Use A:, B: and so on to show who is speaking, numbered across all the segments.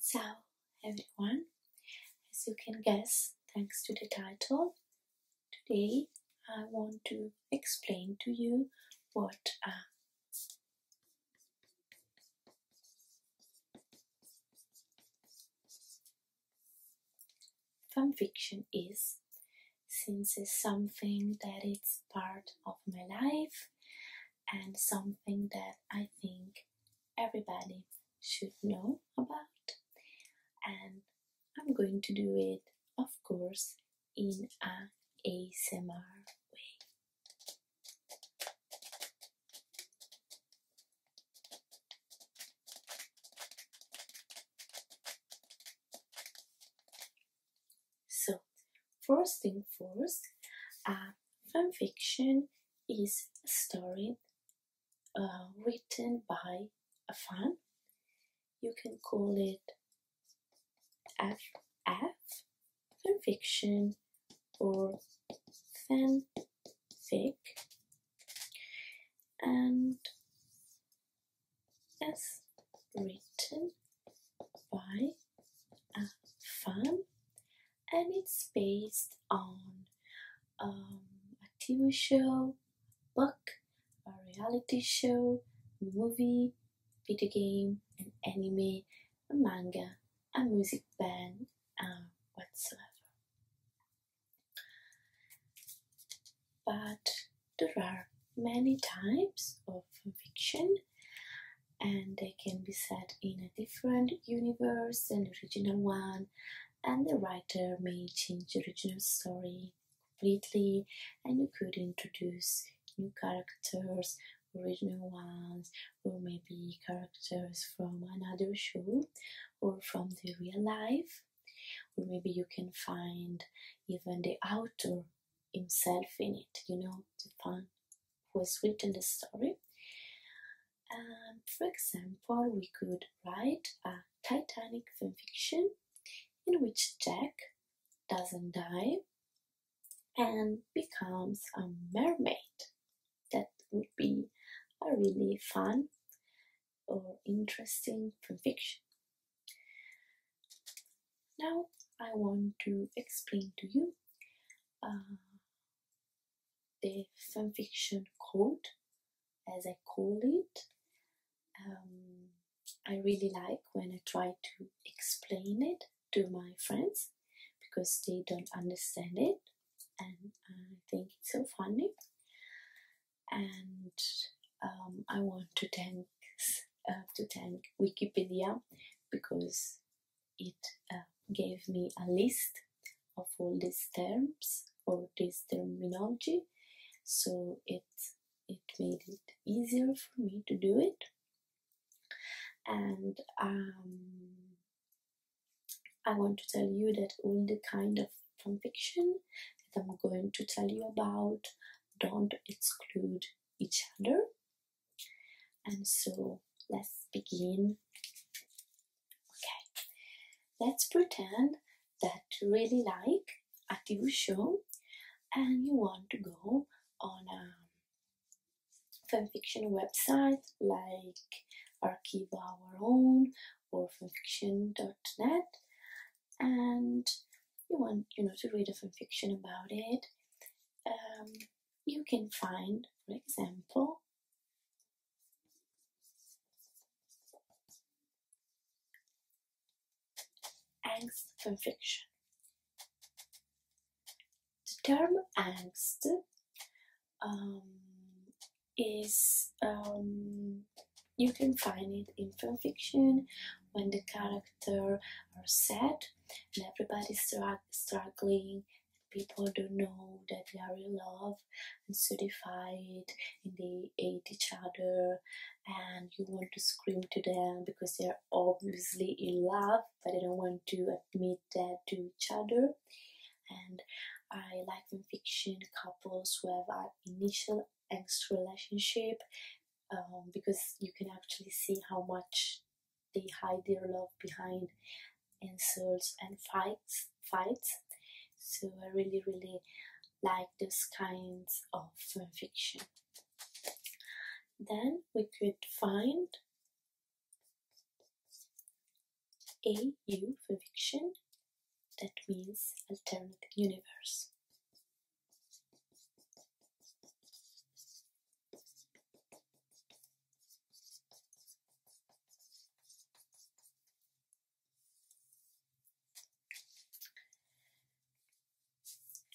A: So, everyone, as you can guess, thanks to the title, today I want to explain to you what a uh, fanfiction is since it's something that it's part of my life and something that I think everybody should know about and I'm going to do it of course in a ASMR way. So, first thing first, uh, fan fiction is a story uh, written by a fan. You can call it FF, fan fiction, or fanfic. And it's written by a fan and it's based on um, a TV show, book, a reality show, movie, video game, an anime, a manga, a music band, uh, whatsoever. But there are many types of fiction and they can be set in a different universe than the original one and the writer may change the original story completely and you could introduce new characters original ones or maybe characters from another show or from the real life or maybe you can find even the author himself in it, you know, the fan who has written the story. And um, for example, we could write a Titanic fanfiction in which Jack doesn't die and becomes a mermaid. That would be a really fun or interesting fanfiction. Now I want to explain to you uh, the fanfiction code, as I call it. Um, I really like when I try to explain it to my friends because they don't understand it, and I think it's so funny. And um, I want to thank uh, to thank Wikipedia because it uh, gave me a list of all these terms or this terminology so it it made it easier for me to do it and um, I want to tell you that all the kind of fiction that I'm going to tell you about don't exclude each other. And so let's begin. Okay, let's pretend that you really like a TV show and you want to go on a fanfiction website like Archive Our Own or fanfiction.net and you want you know to read a fiction about it um, you can find for example angst fiction the term angst um, is um, you can find it in fan fiction when the character are sad and everybody's strugg struggling people don't know that they are in love and so they and they hate each other and you want to scream to them because they are obviously in love but they don't want to admit that to each other and I like in fiction couples who have an initial ex relationship um, because you can actually see how much they hide their love behind insults and fights fights so i really really like those kinds of fan fiction then we could find AU fan fiction that means alternate universe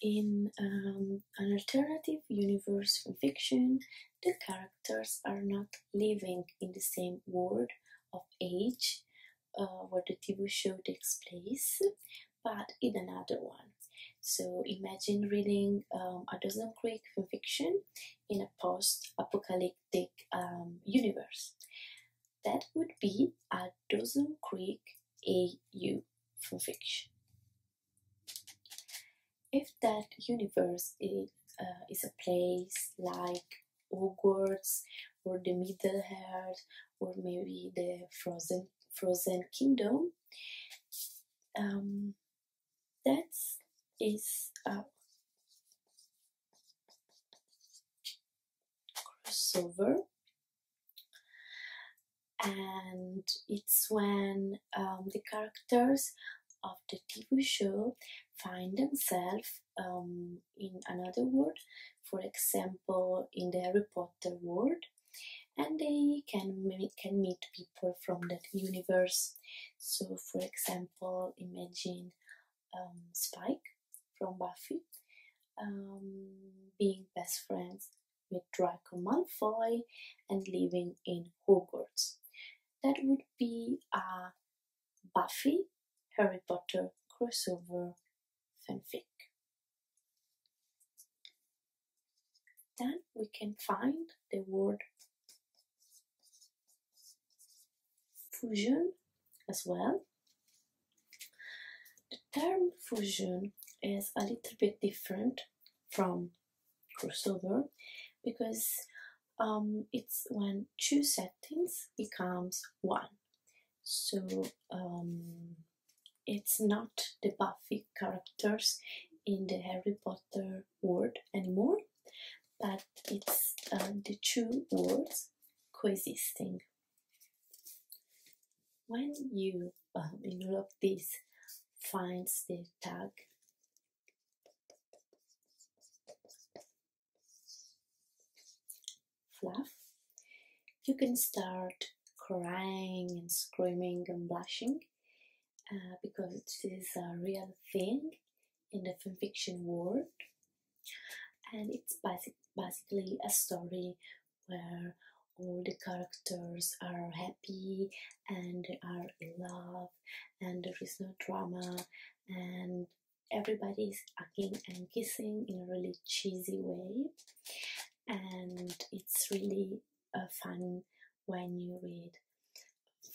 A: in um, an alternative universe from fiction, the characters are not living in the same world of age uh, where the TV show takes place, but in another one. So imagine reading um, a dozen Creek fan fiction in a post-apocalyptic um, universe. That would be a dozen Creek AU fan fiction. If that universe is, uh, is a place like Hogwarts or the Middle Earth, or maybe the Frozen Frozen Kingdom. Um, that is a crossover, and it's when um, the characters of the TV show find themselves um, in another world. For example in the Harry Potter world, and they can meet, can meet people from that universe. So, for example, imagine um, Spike from Buffy um, being best friends with Draco Malfoy and living in Hogwarts. That would be a Buffy Harry Potter crossover fanfic. Then we can find the word fusion as well. The term fusion is a little bit different from crossover because um, it's when two settings becomes one. So um, it's not the Buffy characters in the Harry Potter world anymore, but it's uh, the two worlds coexisting. When you, um, in all this, finds the tag fluff, you can start crying and screaming and blushing uh, because it is a real thing in the fan fiction world. And it's basic, basically a story where all the characters are happy and they are in love and there is no drama and everybody is hugging and kissing in a really cheesy way and it's really uh, fun when you read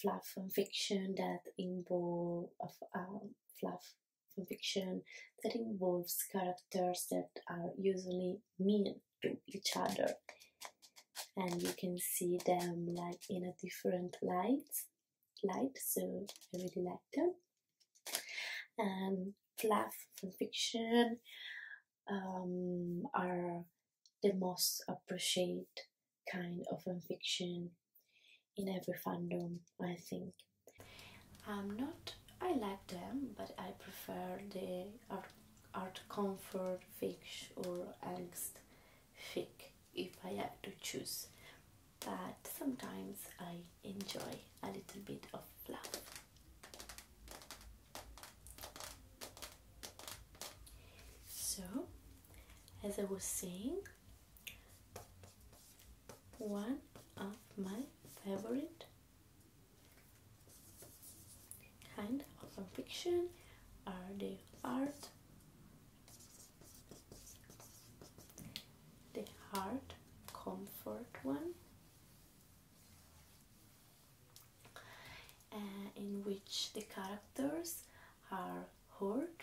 A: fluff and fiction that involve um, fluff fan fiction that involves characters that are usually mean to each other and you can see them like in a different light light so i really like them um, fluff, fan fiction um, are the most appreciated kind of fiction in every fandom, I think. I'm not, I like them, but I prefer the art, art comfort fic or angst fic if I have to choose. But sometimes I enjoy a little bit of fluff. So, as I was saying, one of my favorite kind of fiction are the art, the hard comfort one, uh, in which the characters are hurt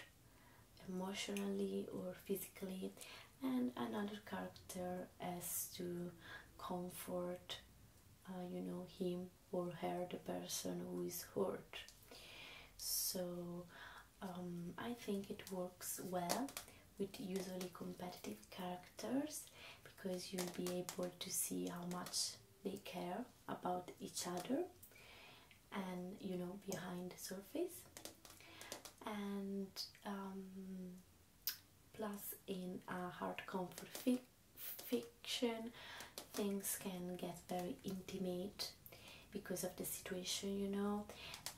A: emotionally or physically, and another character as to comfort, uh, you know, him or her, the person who is hurt. So um, I think it works well with usually competitive characters because you'll be able to see how much they care about each other and you know behind the surface and um, plus in a hard comfort fiction things can get very intimate because of the situation you know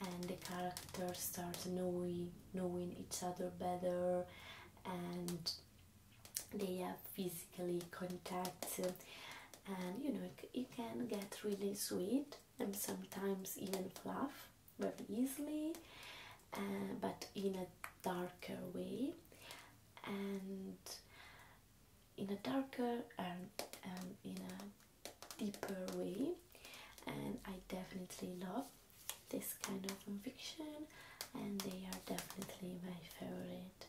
A: and the characters start knowing knowing each other better and they have physically contact and you know it, can get really sweet and sometimes even fluff very easily uh, but in a darker way and in a darker and um, in a deeper way and I definitely love this kind of fanfiction and they are definitely my favorite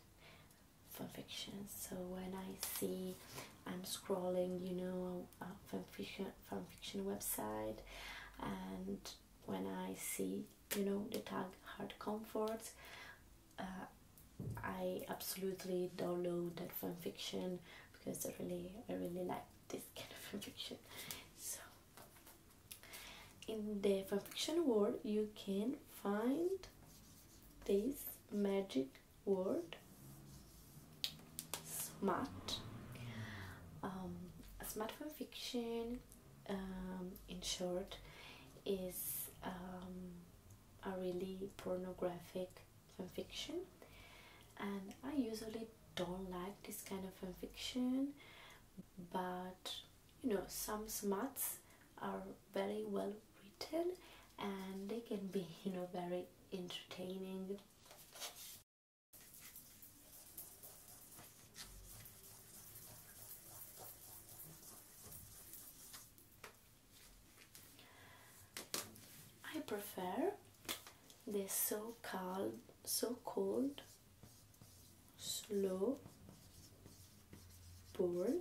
A: fanfiction so when I see I'm scrolling you know a fanfiction, fanfiction website and when I see you know the tag hard comforts uh, I absolutely download that fanfiction because I really I really like this kind of fanfiction. So, in the fanfiction world, you can find this magic word smart. Um, smart fanfiction, um, in short, is um, a really pornographic fiction, and I usually don't like this kind of fiction, but you know some smarts are very well written and they can be you know very entertaining I prefer the so called so cold, slow, bored,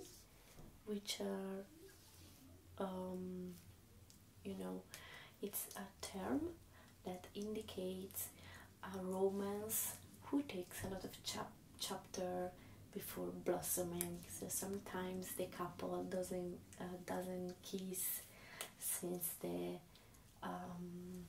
A: which are, um, you know, it's a term that indicates a romance who takes a lot of chap chapter before blossoming. So sometimes the couple doesn't uh, doesn't kiss since they. Um,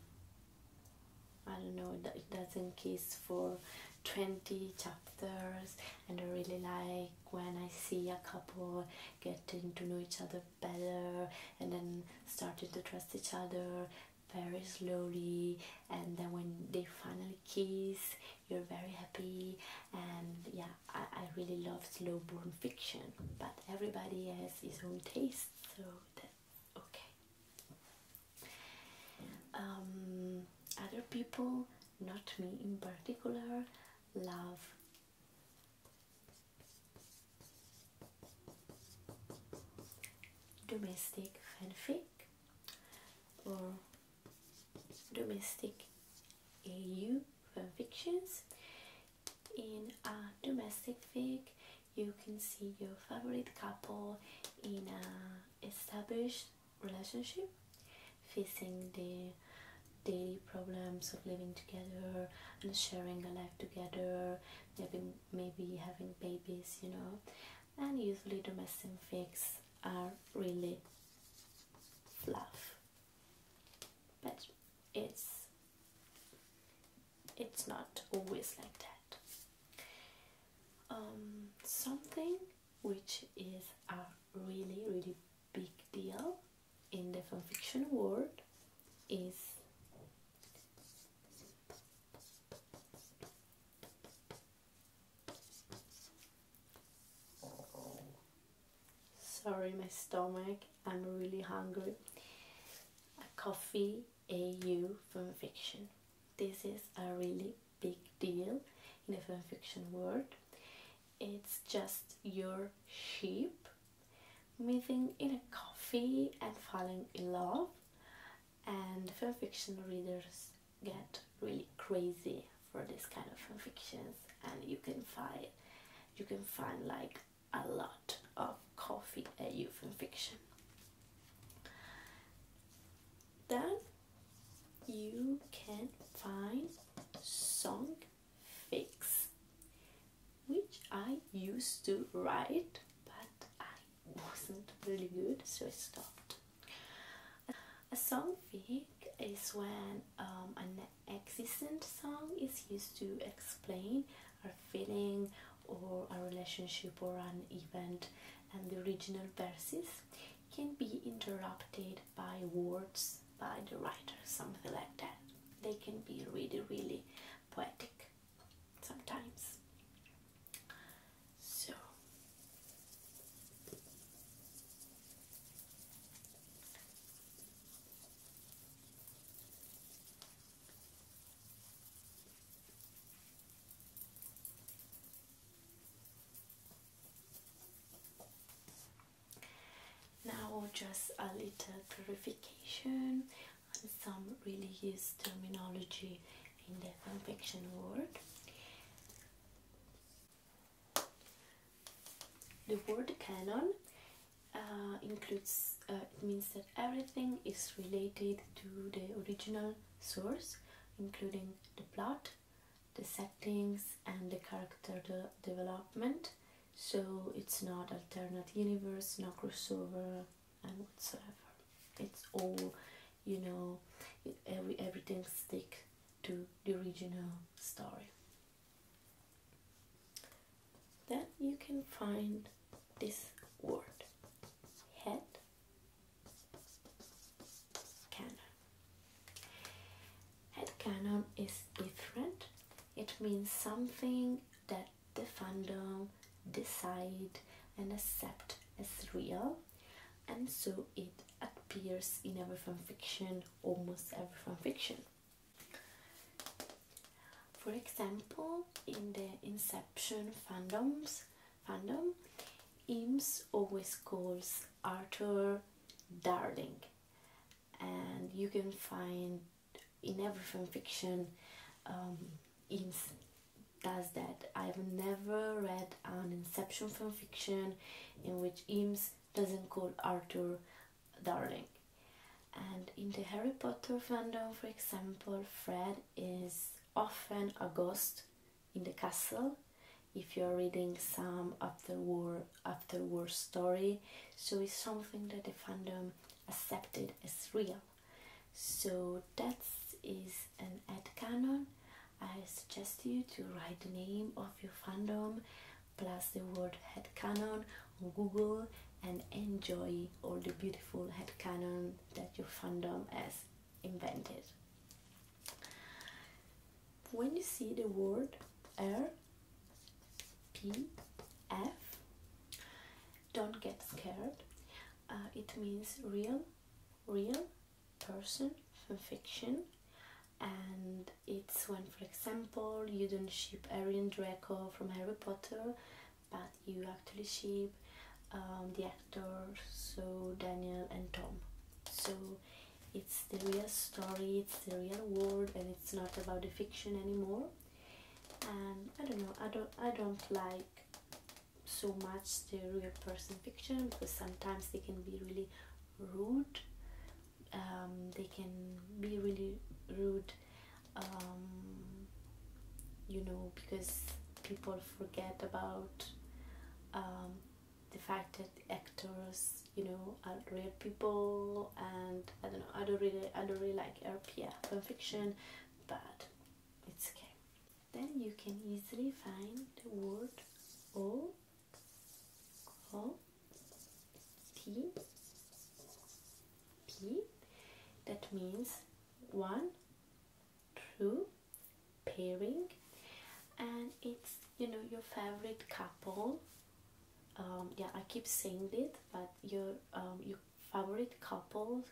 A: I don't know It doesn't kiss for 20 chapters and I really like when I see a couple getting to know each other better and then starting to trust each other very slowly and then when they finally kiss you're very happy and yeah I, really love slow burn fiction, but everybody has his own taste, so that's okay. Um, other people, not me in particular, love domestic fanfic or domestic AU fanfictions in a domestic fig you can see your favorite couple in a established relationship facing the daily problems of living together and sharing a life together maybe, having babies you know and usually domestic figs are really fluff but it's it's not always like that. Um, something which is a really really big deal in the fanfiction world is Sorry, my stomach. I'm really hungry. A coffee AU fanfiction. This is a really big deal in the fanfiction world. It's just your sheep meeting in a coffee and falling in love, and fanfiction readers get really crazy for this kind of fanfictions, and you can find you can find like a lot of coffee and youth and fiction. Then you can find song fix, which I used to write, but I wasn't really good, so I stopped. A song fix is when um, an existent song is used to explain our feeling or our relationship or an event, and the original verses can be interrupted by words by the writer, something like that. They can be really, really poetic sometimes. So, now, just a little clarification on some really used terminology in the confection world. The word canon uh, includes, uh, it means that everything is related to the original source, including the plot, the settings, and the character development. So it's not alternate universe, no crossover, and whatsoever. It's all, you know, every everything stick to the original story. Then you can find this word head cannon. Head cannon is different. It means something that the fandom decide and accept as real and so it appears in every fanfiction, almost every fanfiction. For example, in the Inception fandoms, fandom, Eames always calls Arthur darling, and you can find in every fan fiction um, Eames does that. I've never read an Inception fan fiction in which Eames doesn't call Arthur darling. And in the Harry Potter fandom, for example, Fred is often a ghost in the castle if you're reading some after war after war story so it's something that the fandom accepted as real so that is an ad canon i suggest you to write the name of your fandom plus the word headcanon on Google and enjoy all the beautiful head canon that your fandom has invented. When you see the word R P F, don't get scared. Uh, it means real, real person, fanfiction, and it's when, for example, you don't ship Arian Draco from Harry Potter, but you actually ship um, the actors, so Daniel and Tom. So it's the real story, it's the real world, and it's not about the fiction anymore. And I don't know, I don't, I don't like so much the real person fiction because sometimes they can be really rude um, they can be really rude um, you know because people forget about um, the fact that actors you know are real people and I don't know I don't really I don't really like RPF uh, fan fiction but it's okay then you can easily find the word or call P that means one two, pairing and it's you know your favorite couple um, yeah I keep saying it but your um, your favorite couple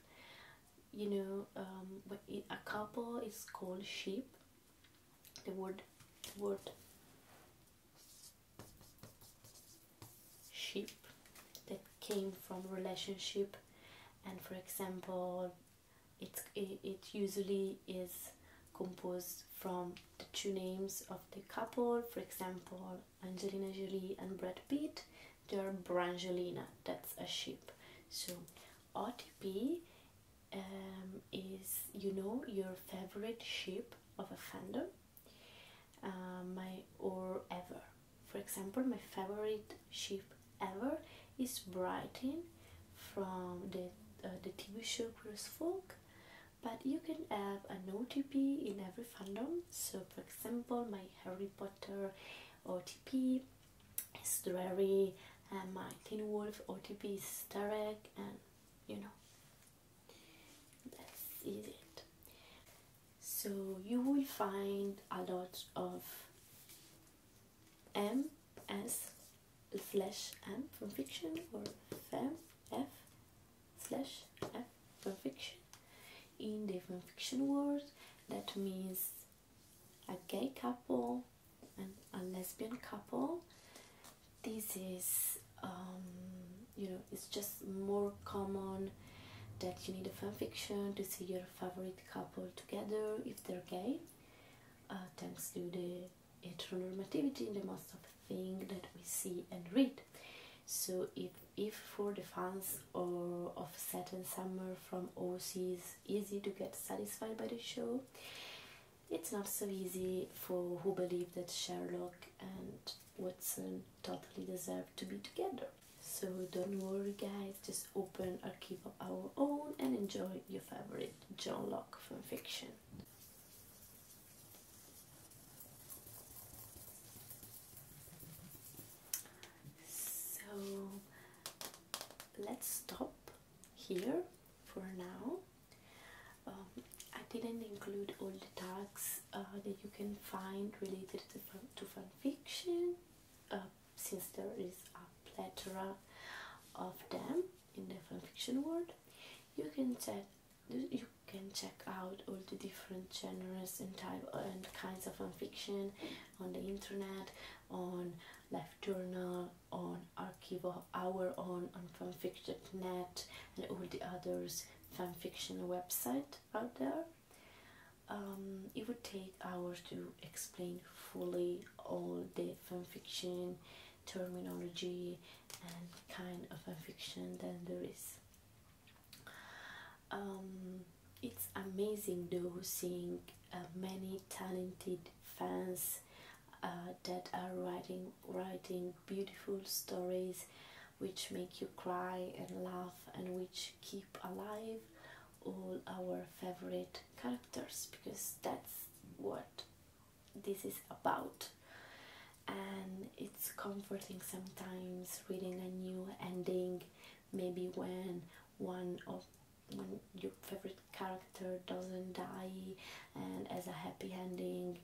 A: you know um, a couple is called sheep the word word ship that came from relationship and for example it, it, usually is composed from the two names of the couple for example Angelina Jolie and Brad Pitt they are Brangelina that's a ship so OTP um, is you know your favorite ship of a fandom uh, my or ever. For example, my favorite ship ever is Brighton from the uh, the TV show Cruise Folk. But you can have an OTP in every fandom. So, for example, my Harry Potter OTP is Dreary, and my Teen Wolf OTP is Tarek, and you know, this is it. So you will find a lot of M, S, slash M from fiction or fem, F, slash F from fiction in different fiction world. That means a gay couple and a lesbian couple this is um, you know it's just more common that you need a fan fiction to see your favorite couple together if they're gay uh, thanks to the heteronormativity in the most of thing that we see and read so if, if for the fans or of Set and Summer from OC is easy to get satisfied by the show, it's not so easy for who believe that Sherlock and Watson totally deserved to be together. So don't worry guys, just open our keep of Our Own and enjoy your favorite John Locke fiction. So let's stop here for now. Um, I didn't include all the tags uh, that you can find related to fun, to fun fiction, uh, since there is a plethora of them in the fun fiction world. You can check you can check out all the different genres and type and kinds of fun fiction on the internet, on Life Journal, on Archive Hour, on on fanfiction.net, and all the others fanfiction website out there. Um, it would take hours to explain fully all the fanfiction terminology and kind of fiction that there is. Um, it's amazing though seeing uh, many talented fans uh, that are writing writing beautiful stories which make you cry and laugh and which keep alive all our favorite characters because that's what this is about and it's comforting sometimes reading a new ending maybe when one of your favorite character doesn't die and as a happy ending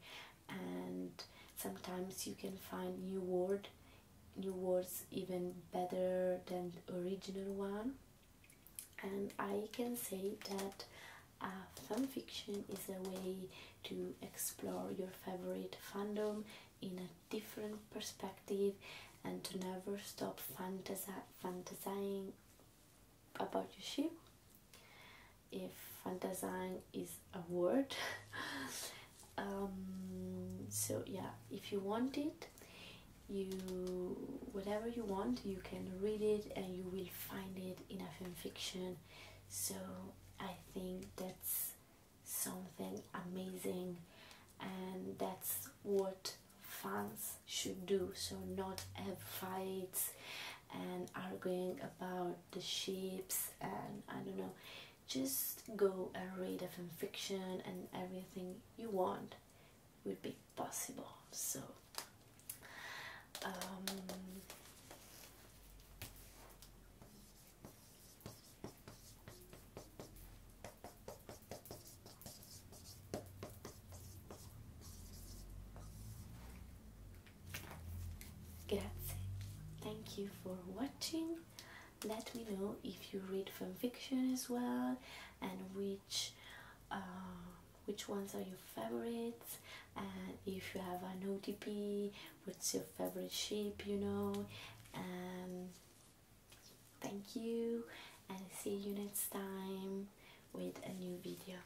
A: and sometimes you can find new word new words even better than original one and I can say that fanfiction is a way to explore your favorite fandom in a different perspective and to never stop fantasizing about your ship if fantasizing is a word. Um, so yeah, if you want it, you whatever you want, you can read it and you will find it in a fan fiction. So I think that's something amazing, and that's what fans should do. So not have fights and arguing about the ships and I don't know just go and read a fan fiction and everything you want would be possible so um, Grazie. Thank you for watching. Let me know if you read fan fiction as well and which uh, which ones are your favorites and if you have an OTP, what's your favorite ship? you know. And thank you and see you next time with a new video.